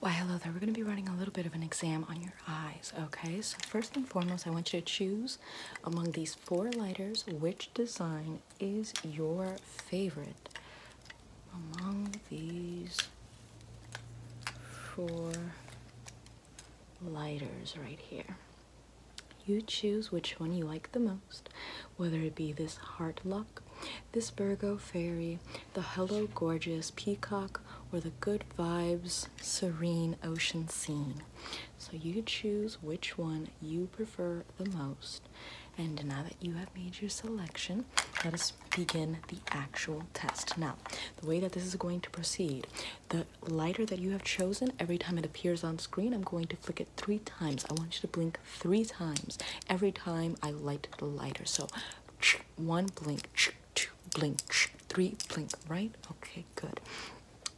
Why, hello there. We're going to be running a little bit of an exam on your eyes, okay? So first and foremost, I want you to choose among these four lighters which design is your favorite among these four lighters right here. You choose which one you like the most whether it be this Heart Luck, this Virgo Fairy, the Hello Gorgeous Peacock, or the Good Vibes Serene Ocean Scene. So you choose which one you prefer the most. And now that you have made your selection, let us begin the actual test. Now, the way that this is going to proceed, the lighter that you have chosen, every time it appears on screen, I'm going to flick it three times. I want you to blink three times every time I light the lighter. So one blink, two blink, three blink, right? Okay, good.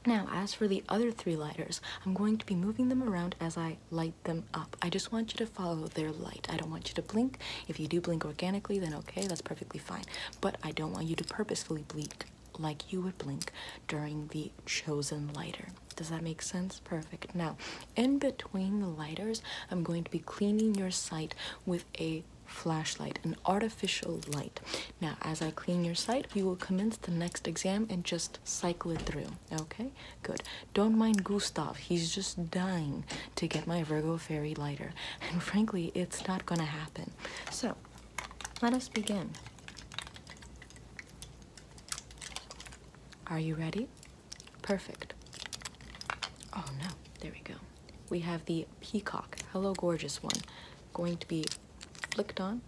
Now, as for the other three lighters, I'm going to be moving them around as I light them up. I just want you to follow their light. I don't want you to blink. If you do blink organically, then okay, that's perfectly fine. But I don't want you to purposefully blink like you would blink during the chosen lighter. Does that make sense? Perfect. Now, in between the lighters, I'm going to be cleaning your site with a flashlight, an artificial light. Now, as I clean your site, we will commence the next exam and just cycle it through. Okay? Good. Don't mind Gustav. He's just dying to get my Virgo Fairy lighter. And frankly, it's not going to happen. So, let us begin. Are you ready? Perfect. Oh no, there we go. We have the peacock, hello gorgeous one, going to be flicked on.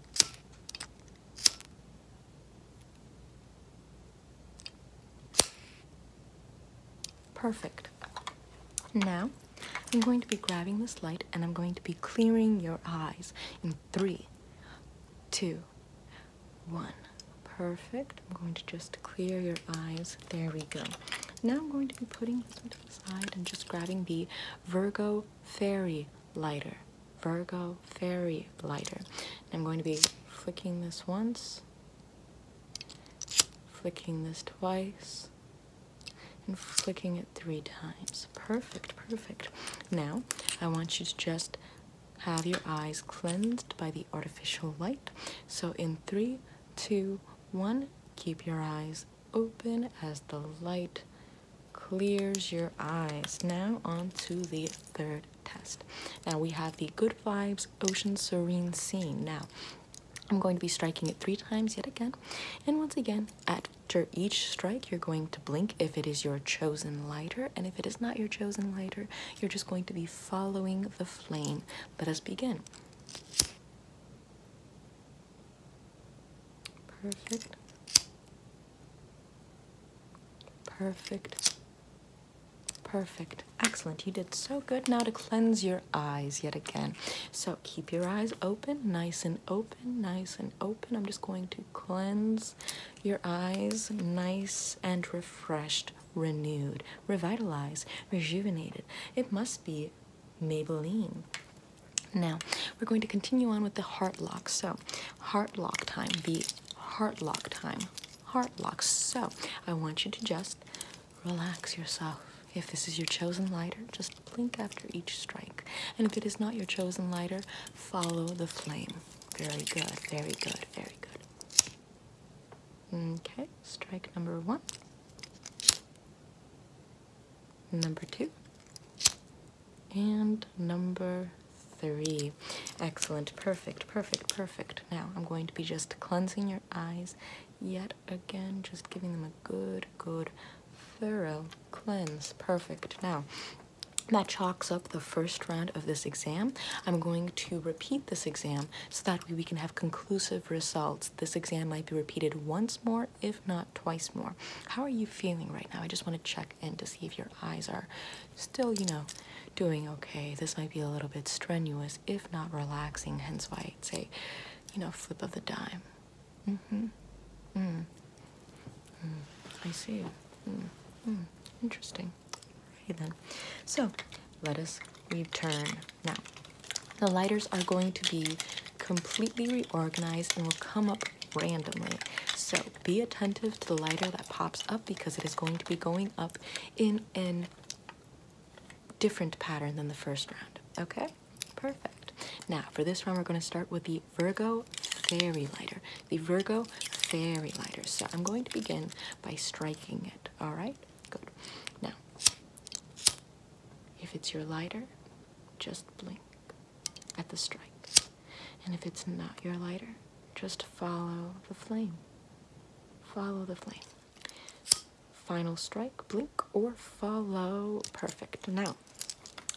Perfect. Now, I'm going to be grabbing this light and I'm going to be clearing your eyes in three, two, one. Perfect. I'm going to just clear your eyes. There we go. Now I'm going to be putting this one to the side and just grabbing the Virgo Fairy lighter. Virgo Fairy lighter. I'm going to be flicking this once, flicking this twice, and flicking it three times. Perfect, perfect. Now, I want you to just have your eyes cleansed by the artificial light. So, in three, two, one, keep your eyes open as the light clears your eyes. Now, on to the third test. Now, we have the Good Vibes Ocean Serene Scene. Now, I'm going to be striking it three times yet again, and once again at after each strike, you're going to blink if it is your chosen lighter, and if it is not your chosen lighter, you're just going to be following the flame. Let us begin. Perfect. Perfect. Perfect. Excellent. You did so good. Now to cleanse your eyes yet again. So keep your eyes open, nice and open nice and open. I'm just going to cleanse your eyes, nice and refreshed, renewed, revitalized, rejuvenated. It must be Maybelline. Now, we're going to continue on with the heart lock. So, heart lock time, the heart lock time, heart lock. So, I want you to just relax yourself. If this is your chosen lighter, just blink after each strike. And if it is not your chosen lighter, follow the flame. Very good, very good, very good. Okay, strike number one. Number two. And number three. Excellent, perfect, perfect, perfect. Now I'm going to be just cleansing your eyes yet again, just giving them a good, good, thorough cleanse. Perfect. Now, that chalks up the first round of this exam. I'm going to repeat this exam so that we can have conclusive results. This exam might be repeated once more, if not twice more. How are you feeling right now? I just want to check in to see if your eyes are still, you know, doing okay. This might be a little bit strenuous, if not relaxing, hence why I'd say, you know, flip of the dime. Mm-hmm. Mm. Mm. I see. Mm. mm. Interesting. Right then. So let us return. Now, the lighters are going to be completely reorganized and will come up randomly. So be attentive to the lighter that pops up because it is going to be going up in an different pattern than the first round. Okay, perfect. Now, for this round, we're going to start with the Virgo Fairy Lighter. The Virgo Fairy Lighter. So I'm going to begin by striking it. All right, good. Now, if it's your lighter, just blink at the strike. And if it's not your lighter, just follow the flame. Follow the flame. Final strike, blink, or follow. Perfect. Now,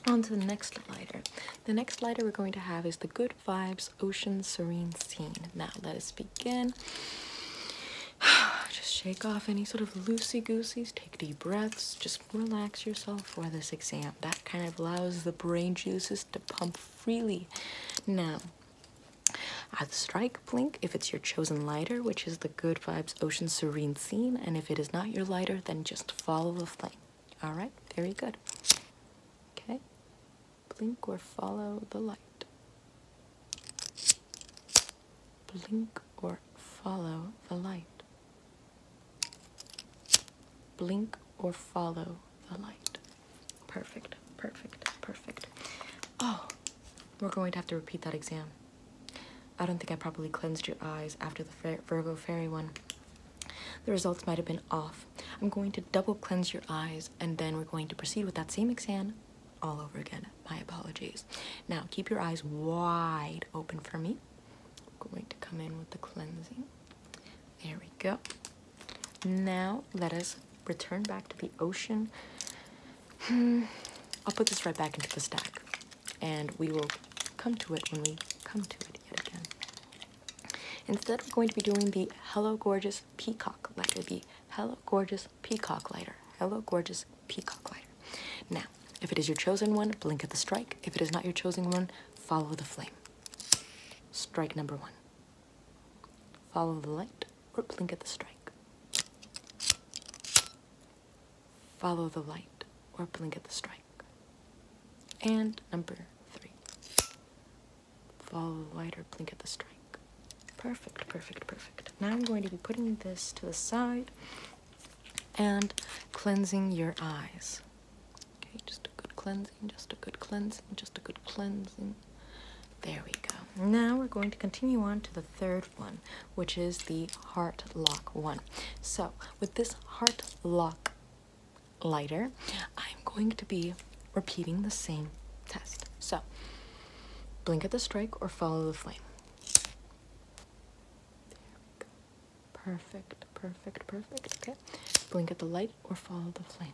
on to the next lighter. The next lighter we're going to have is the Good Vibes Ocean Serene Scene. Now, let us begin. Just shake off any sort of loosey-gooseys, take deep breaths, just relax yourself for this exam. That kind of allows the brain juices to pump freely. Now, at Strike Blink, if it's your chosen lighter, which is the Good Vibes Ocean Serene Scene, and if it is not your lighter, then just follow the flame. Alright, very good. Okay, blink or follow the light. Blink or follow the light. Blink or follow the light. Perfect, perfect, perfect. Oh, we're going to have to repeat that exam. I don't think I properly cleansed your eyes after the Virgo fairy one. The results might have been off. I'm going to double cleanse your eyes and then we're going to proceed with that same exam all over again. My apologies. Now keep your eyes wide open for me. I'm going to come in with the cleansing. There we go. Now let us return back to the ocean I'll put this right back into the stack, and we will come to it when we come to it yet again. Instead, we're going to be doing the Hello Gorgeous Peacock Lighter, the Hello Gorgeous Peacock Lighter, Hello Gorgeous Peacock Lighter. Now, if it is your chosen one, blink at the strike. If it is not your chosen one, follow the flame. Strike number one. Follow the light. Or blink at the strike. Follow the light, or blink at the strike. And number three. Follow the light or blink at the strike. Perfect, perfect, perfect. Now I'm going to be putting this to the side and cleansing your eyes. Okay, just a good cleansing, just a good cleansing, just a good cleansing. There we go. Now we're going to continue on to the third one, which is the heart lock one. So with this heart lock lighter, I'm going to be repeating the same test. So blink at the strike or follow the flame. Perfect, perfect, perfect. Okay. Blink at the light or follow the flame.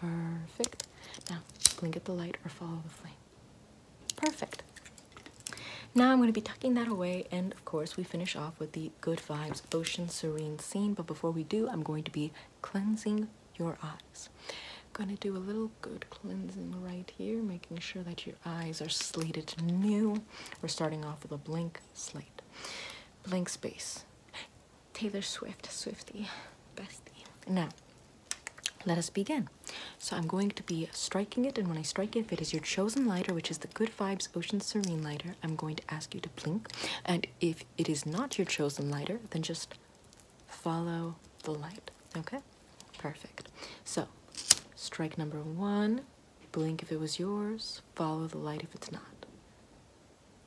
Perfect. Now, blink at the light or follow the flame. Perfect. Now I'm going to be tucking that away, and of course, we finish off with the Good Vibes Ocean Serene scene. But before we do, I'm going to be cleansing your eyes. Gonna do a little good cleansing right here, making sure that your eyes are slated new. We're starting off with a blank slate. Blank space. Taylor Swift, Swifty, bestie. Now, let us begin. So I'm going to be striking it, and when I strike it, if it is your chosen lighter, which is the Good Vibes Ocean Serene lighter, I'm going to ask you to blink. And if it is not your chosen lighter, then just follow the light, okay? Perfect. So, strike number one, blink if it was yours, follow the light if it's not.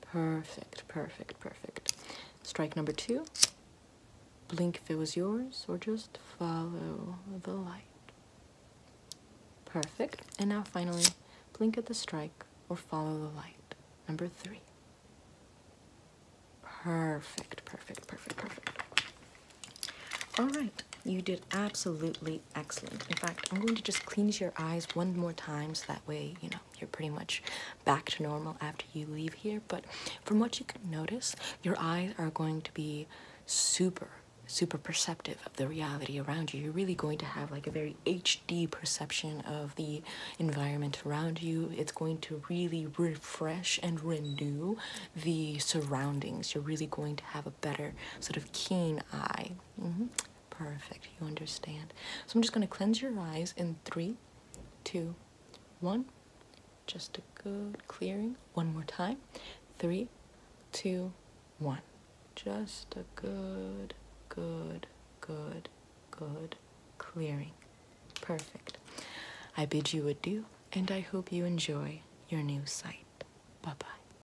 Perfect, perfect, perfect. Strike number two. Blink if it was yours, or just follow the light. Perfect. And now finally, blink at the strike or follow the light. Number three. Perfect, perfect, perfect, perfect. All right, you did absolutely excellent. In fact, I'm going to just cleanse your eyes one more time so that way, you know, you're pretty much back to normal after you leave here. But from what you can notice, your eyes are going to be super, super perceptive of the reality around you. You're really going to have like a very HD perception of the environment around you. It's going to really refresh and renew the surroundings. You're really going to have a better, sort of keen eye. Mm-hmm. Perfect. You understand. So I'm just going to cleanse your eyes in three, two, one. Just a good clearing. One more time. Three, two, one. Just a good, good, good, good clearing. Perfect. I bid you adieu and I hope you enjoy your new sight. Bye bye.